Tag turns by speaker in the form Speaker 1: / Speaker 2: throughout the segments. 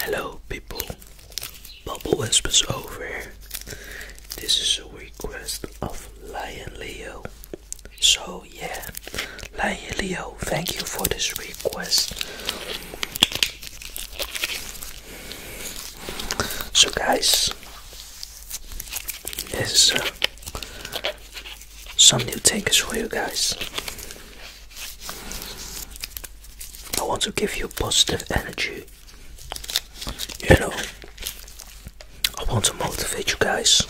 Speaker 1: Hello people, Bubble Whispers over here. This is a request of Lion Leo. So yeah, Lion Leo, thank you for this request. So guys, this some new takers for you guys. I want to give you positive energy. You know, I want to motivate you guys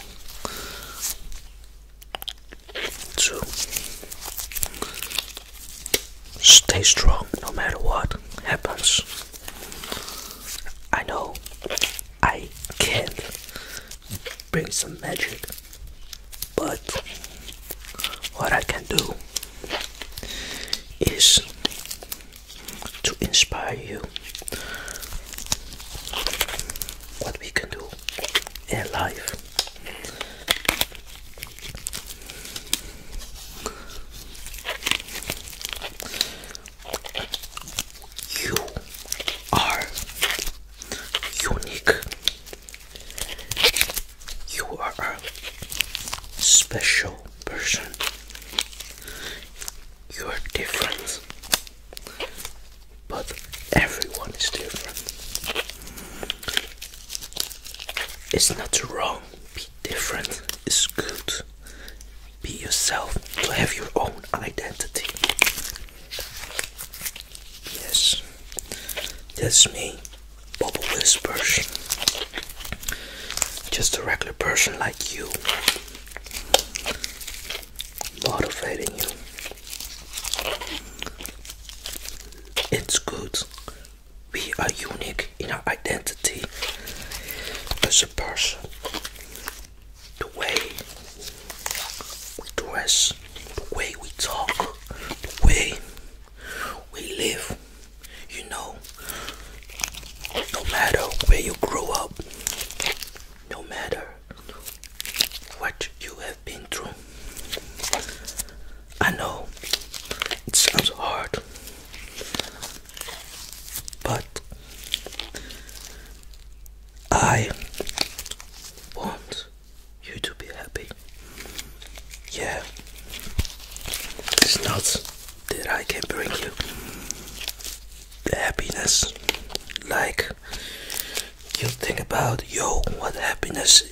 Speaker 1: to stay strong no matter what happens. I know I can't bring some magic. But what I can do is to inspire you what we can do in life. You are unique. You are a special person. You are different. But everyone is different. It's not wrong. Be different. It's good. Be yourself. To have your own identity. Yes, that's me, Bubble Whispers. Just a regular person like you, motivating you. It's good. We are unique in our identity as a person the way we dress, the way we talk, the way we live. You know, no matter where you grew up, no matter what you have been through, I know it sounds hard, but I want you to be happy. Yeah. It's not that I can bring you the happiness like you think about yo what happiness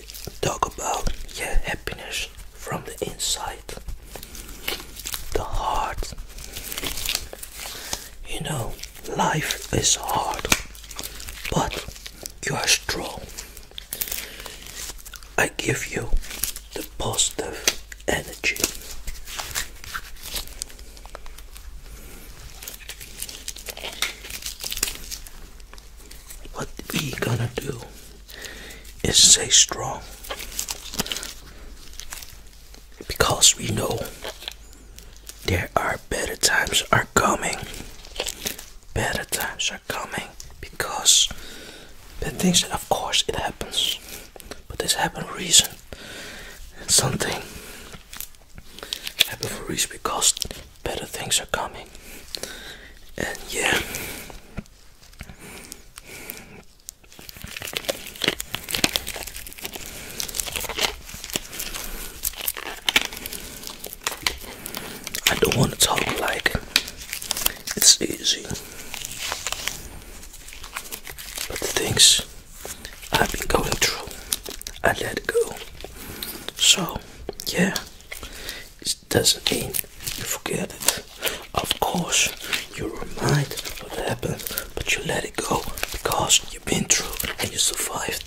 Speaker 1: talk about yeah happiness from the inside the heart you know Life is hard, but you are strong. I give you the positive energy. What we gonna do is stay strong because we know there are better times are coming. Better times are coming because the things of course it happens. But this happened for reason. Something happened for reason because better things are coming. And yeah I don't want to talk like it's easy, but things I've been going through, I let go. So, yeah, it doesn't mean you forget it. Of course, you are remind what happened, but you let it go because you've been through and you survived.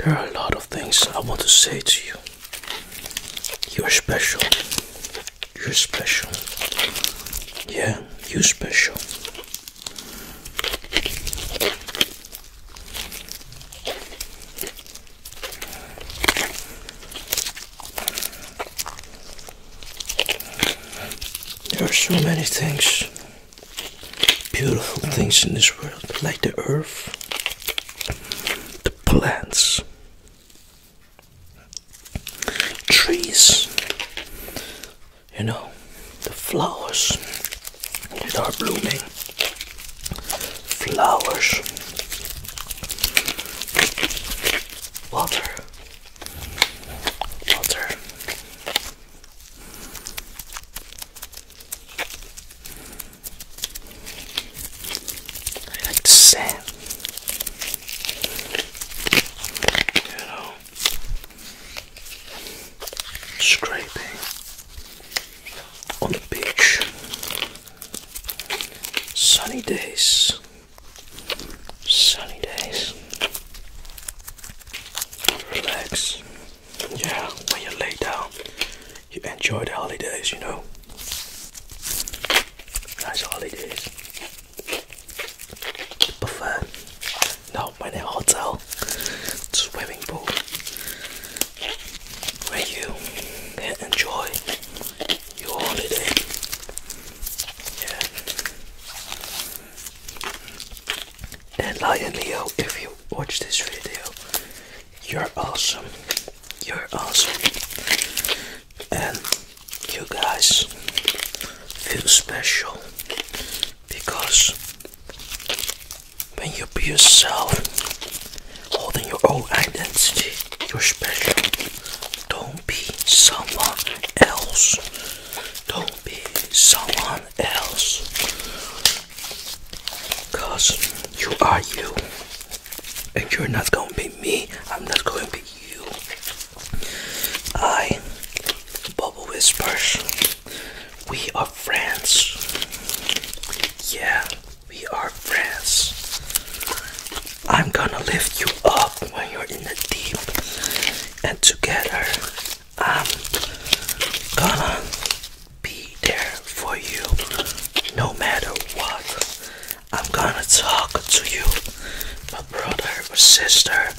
Speaker 1: Yeah. There are a lot of things I want to say to you. You're special. You're special. Yeah, you're special. There are so many things, beautiful things in this world, like the earth, the plants, trees, you know, the flowers. These are blooming flowers. Water. Water. I like the sand. You know scraping on the beach. Sunny days. Sunny days. Relax. Yeah, when you lay down, you enjoy the holidays, you know. Nice holidays. Buffet. No, we're in a hotel swimming pool where you enjoy your holiday. And Lion Leo, if you watch this video, you're awesome. You're awesome. And you guys feel special because when you be yourself holding your own identity you're special don't be someone else don't be someone else because you are you and you're not gonna be me i'm not gonna be you i bubble whispers we are friends. Yeah, we are friends. I'm gonna lift you up when you're in the deep, and together I'm gonna be there for you no matter what. I'm gonna talk to you, my brother my sister.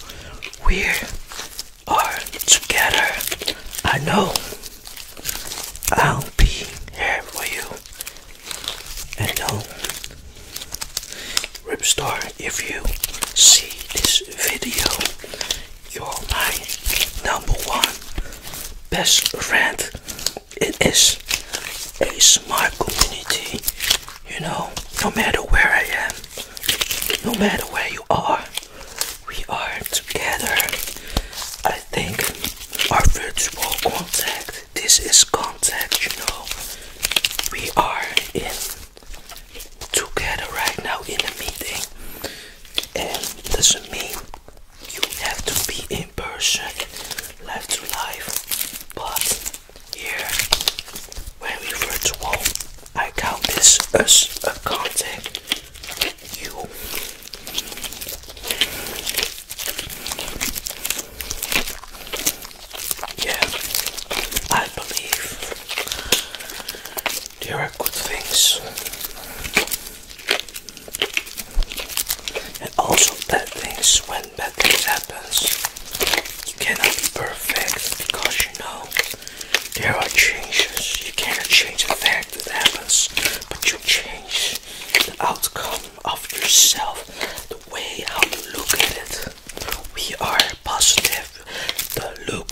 Speaker 1: We're are together, I know I'll be here for you. And no, Ripstar, if you see this video, you're my number one best friend. It is a smart community, you know, no matter where I am, no matter where you are we are together. I think our virtual contact. This is contact, you know. We are in together right now in a meeting, and doesn't mean you have to be in person, live to life. But here, when we virtual, I count this as a contact. You. Yeah, I believe there are good things, and also bad things. When bad things happens, you cannot be perfect because you know there are changes. You cannot change the fact that happens, but you change the outcome of yourself, the way how you look at it. We are positive. The look,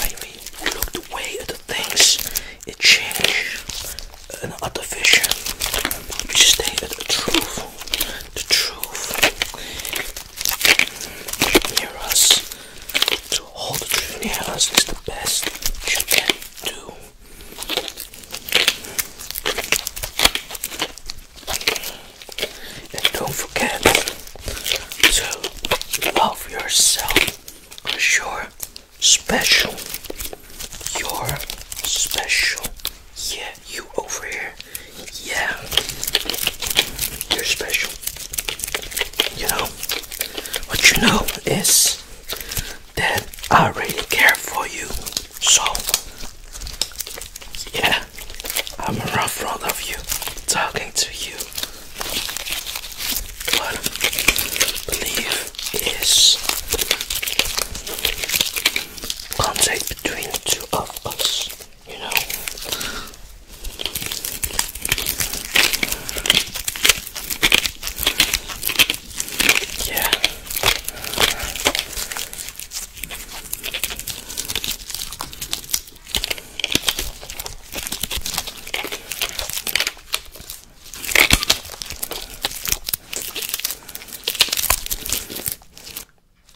Speaker 1: when we look the way at the things, it changes. An other vision. We stay at the truth. The truth near us. To hold the truth near us is the best you can do. And don't forget to love yourself because you're special. You're special. Yeah, you over here yeah, you're special. You know, what you know is that I really care for you. So, yeah, I'm around front of you, talking to you. What I believe is contact between two of us you know. Yeah.